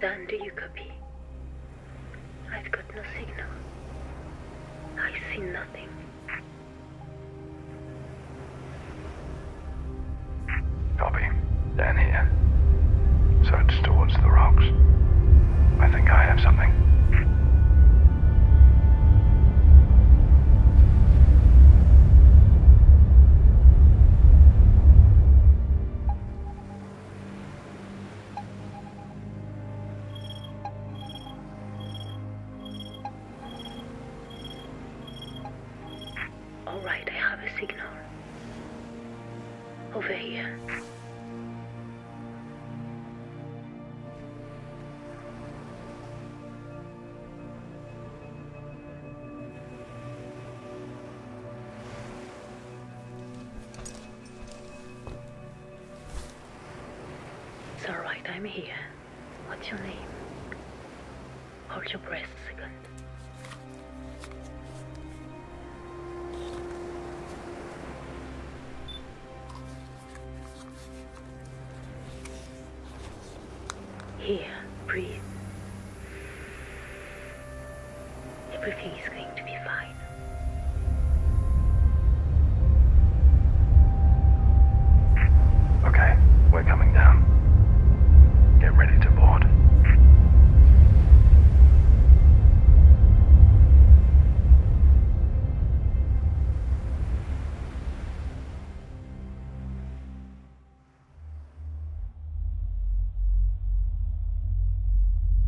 Dan, do you copy? I've got no signal. I see nothing. Copy. Down here. Search towards the rocks. I think I have something. All right, I have a signal. Over here. It's alright, I'm here. What's your name? Hold your breath a second. Here, breathe. Everything is going to be fine mine. Okay, we're coming down. Get ready to board.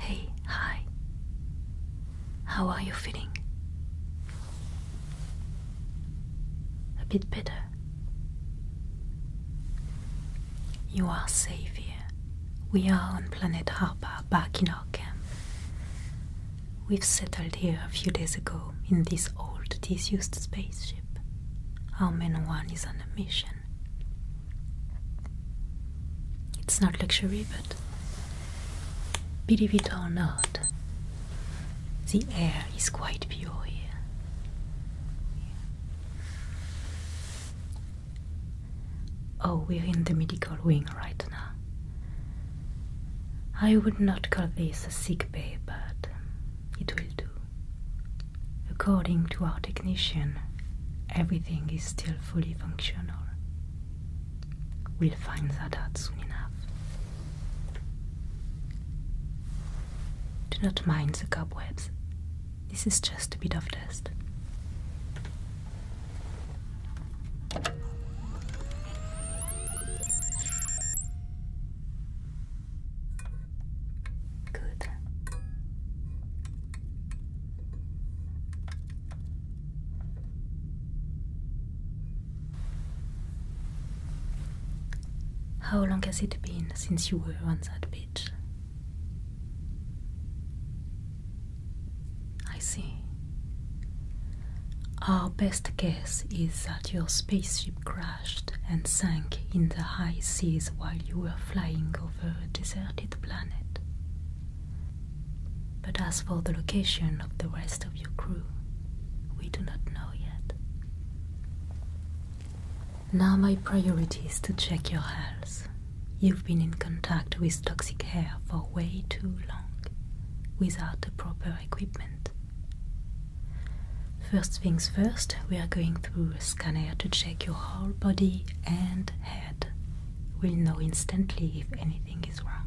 Hey, hi. How are you feeling? A bit better. You are savior. We are on planet Harper, back in our camp. We've settled here a few days ago in this old, disused spaceship. Our men one is on a mission. It's not luxury, but believe it or not, the air is quite pure here. Oh, we're in the medical wing right now. I would not call this a sick bay, but um, it will do. According to our technician, everything is still fully functional. We'll find that out soon enough. Do not mind the cobwebs. This is just a bit of dust. Good. How long has it been since you were on that beach? I see. Our best guess is that your spaceship crashed and sank in the high seas while you were flying over a deserted planet. But as for the location of the rest of your crew, we do not know. Now, my priority is to check your health. You've been in contact with toxic air for way too long without the proper equipment. First things first, we are going through a scanner to check your whole body and head. We'll know instantly if anything is wrong.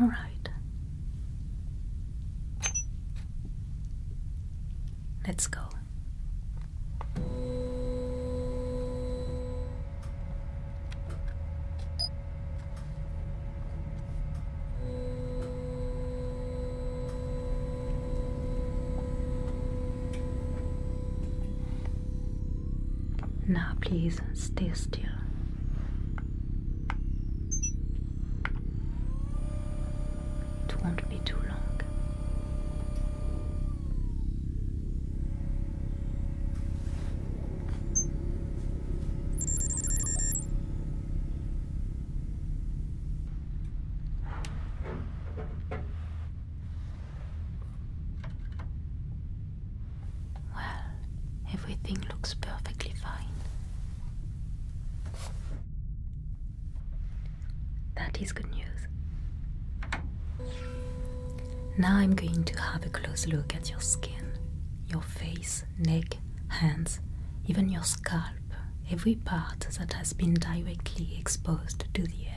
All right. Let's go. Now please stay still. It won't be too long. Well, everything looks perfectly fine. That is good news. Now I'm going to have a close look at your skin, your face, neck, hands, even your scalp, every part that has been directly exposed to the air.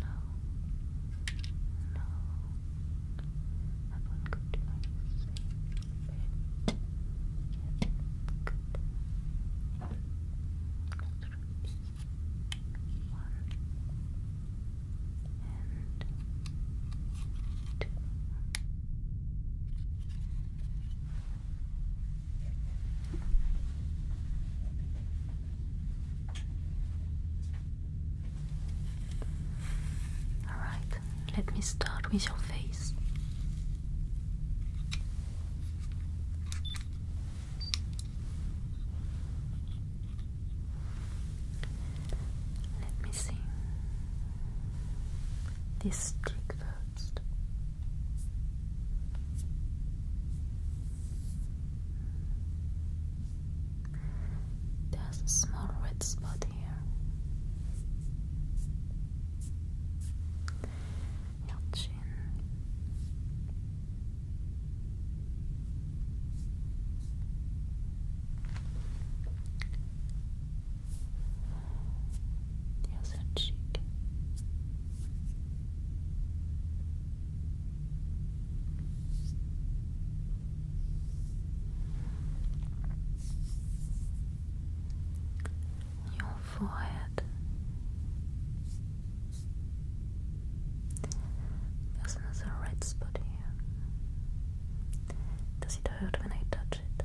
No. No. I won't go to my bed. Yes. Good. Drops. One. And two. Good. Alright, let me start with your face. Let me see this stick there's a small red spot here. Your chin. The cheek your forehead there's another red spot here does it hurt when I touch it?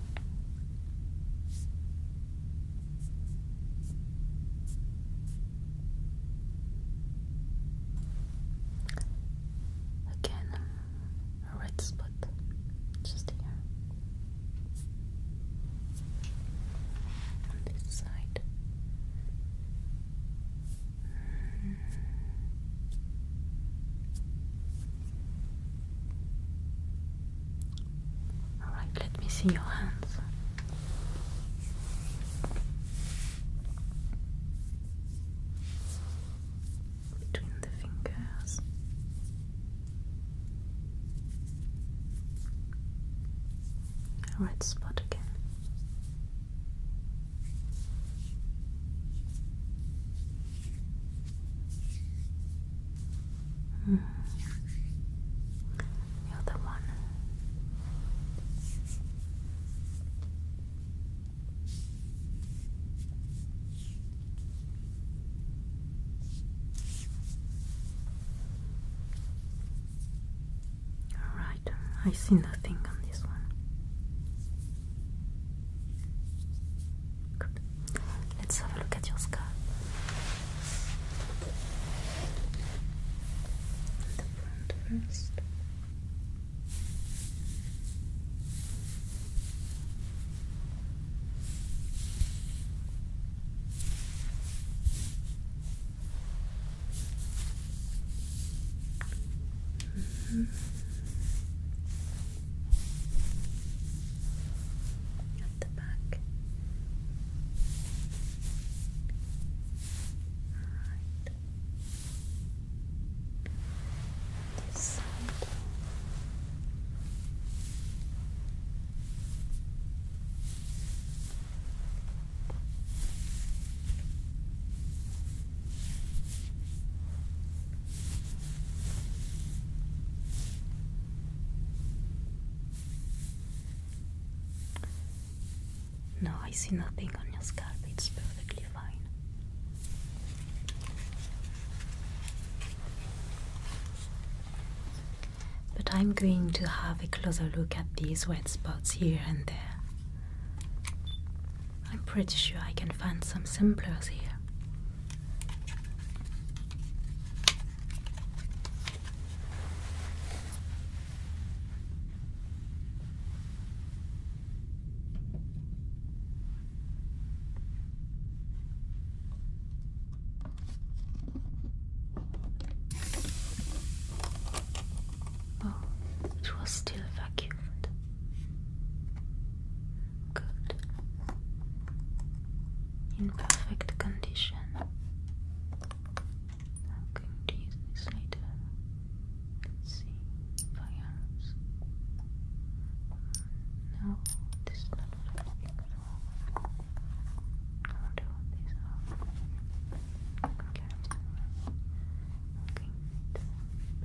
Again, a red spot just here on this side. Mm. Alright, let me see your hands. Between the fingers. Red spot again. Mm. You're one. All right, I see nothing on this one. Let's have a look at your scar. The front first. Mm-hmm at the back. Alright. This side. No, I see nothing on your scalp, it's perfectly fine. But I'm going to have a closer look at these wet spots here and there. I'm pretty sure I can find some samplers here. Oh, it was still vacuumed. Good in perfect condition. I'm going to Let's see. Firearms. No, this is not for. I wonder what these are. Okay, i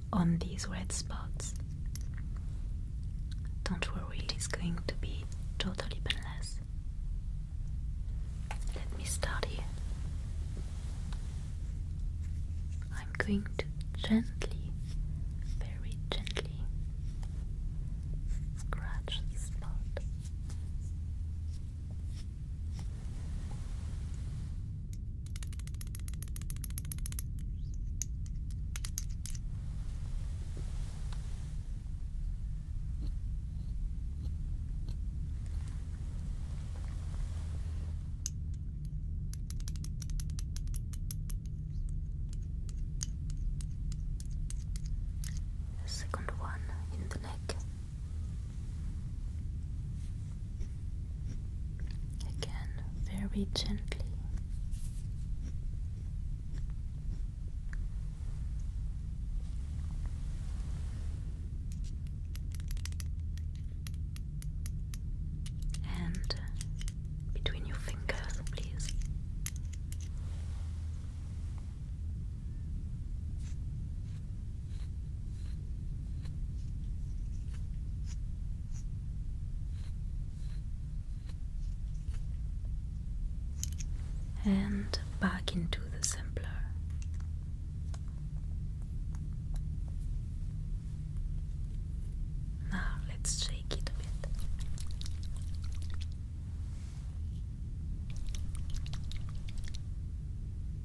on these red spots. Don't worry, it is going to be totally painless. Let me start I'm going to gently, very gently, scratch the spot. The second one in the neck. Again, very gently. And between your fingers, please and back into the sampler. Now let's shake it a bit.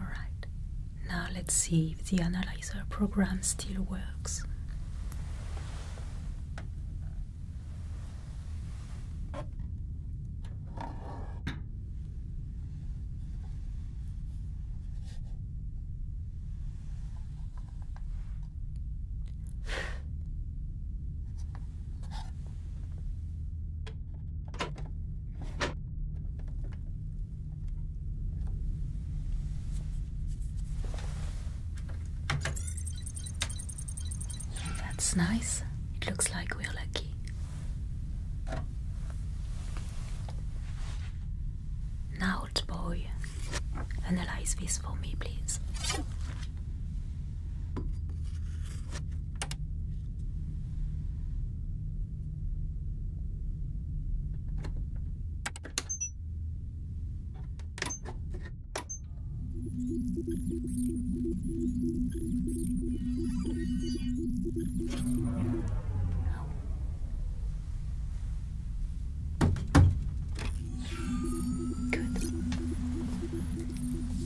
Alright, now let's see if the analyzer program still works. That's nice. It looks like we're lucky. Now, old boy, analyze this for me, please. Good.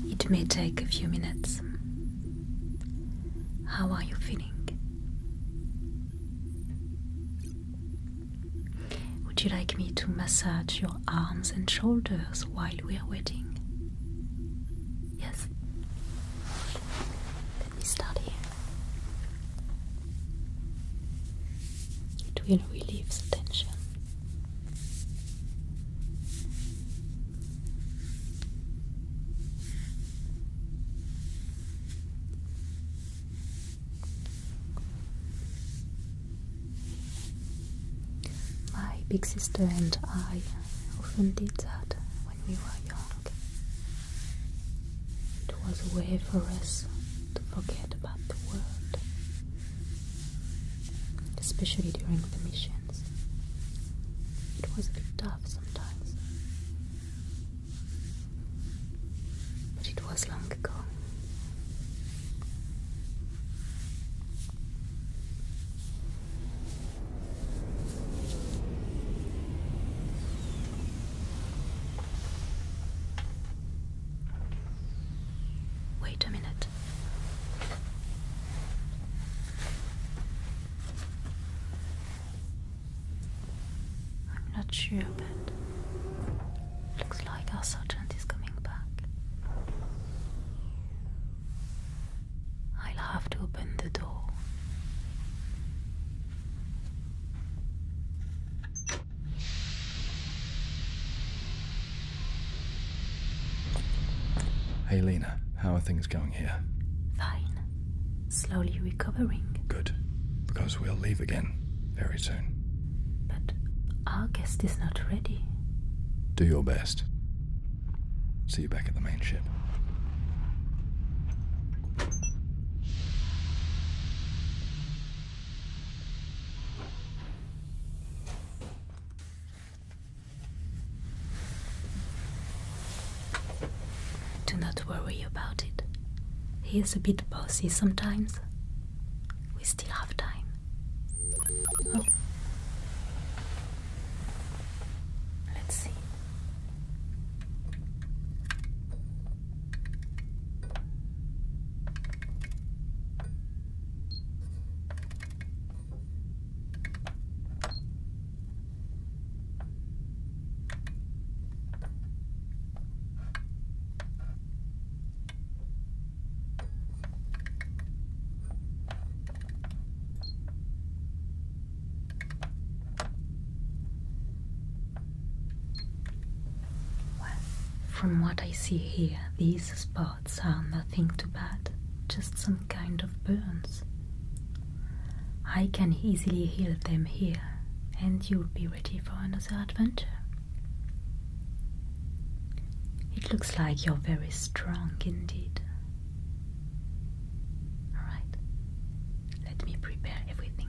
It may take a few minutes. How are you feeling? Would you like me to massage your arms and shoulders while we are waiting? Yes? Let me start here. It will relieve the tension. My big sister and I often did that when we were young. It was a way for us to forget about the world, especially during the mission. It was tough sometimes. But it was long ago. Wait a minute. I'm not sure, but looks like our sergeant is coming back. I'll have to open the door. Hey, Lena, how are things going here? Fine. Slowly recovering. Good. Because we'll leave again very soon. But our guest is not ready. Do your best. See you back at the main ship. Do not worry about it. He is a bit bossy sometimes. We still have time. Let's see from what I see here, these spots spots are nothing too bad, just some kind of burns. I can easily heal them here, and you'll be ready for another adventure. It looks like you're very strong indeed. Alright, let me prepare everything.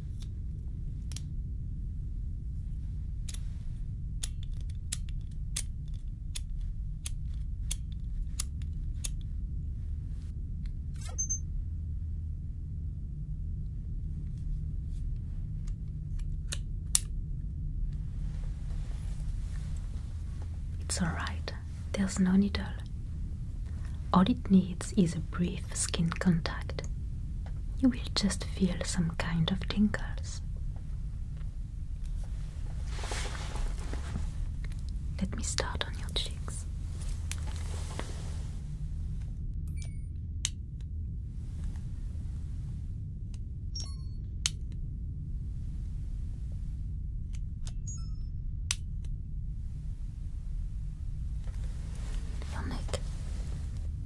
It's alright, there's no needle. All it needs is a brief skin contact, you will just feel some kind of tingles. Let me start on your cheeks. Your neck,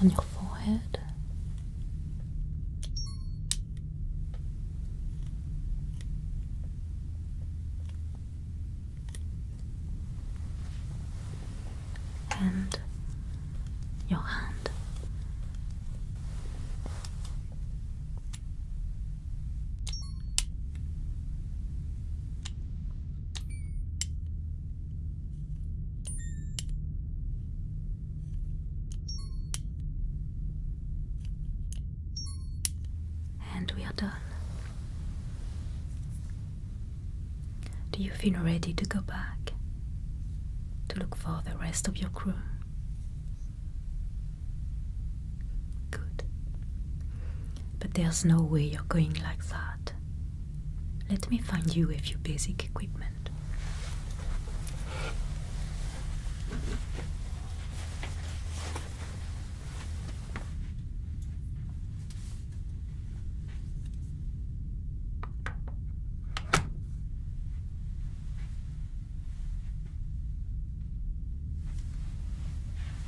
on your forehead. And your hand. And we are done. Do you feel ready to go back? To look for the rest of your crew? Good. But there's no way you're going like that. Let me find you a few basic equipment.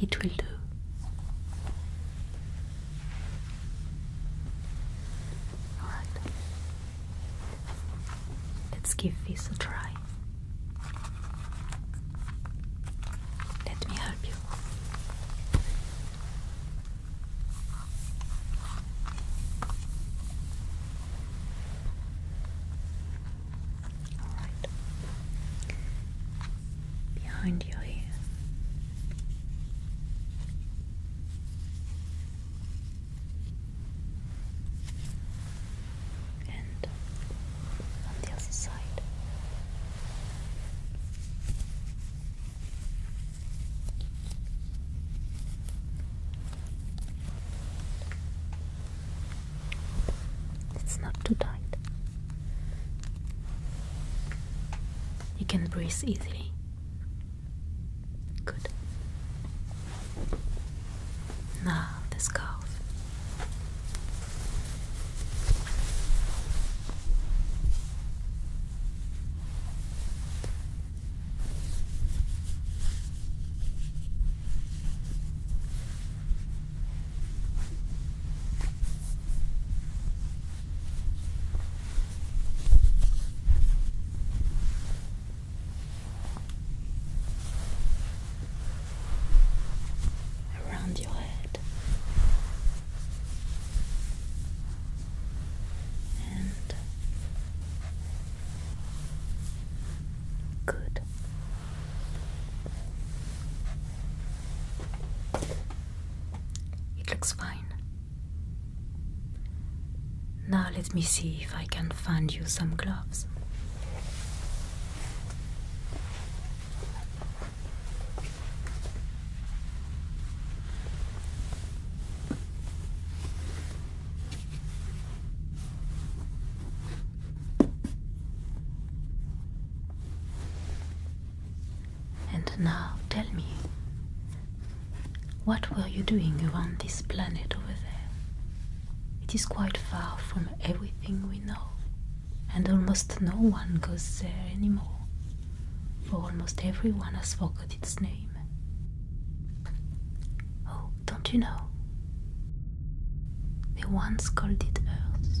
It will do. Alright. Let's give this a try. Let me help you. Behind your ear and on the other side. It's not too tight. You can breathe easily. Good. Now the scarf around your head and good. It looks fine. Now let me see if I can find you some gloves. And now tell me, what were you doing around this planet over there? It is quite far from everything we know, and almost no one goes there anymore, for almost everyone has forgotten its name. Oh, don't you know? They once called it Earth.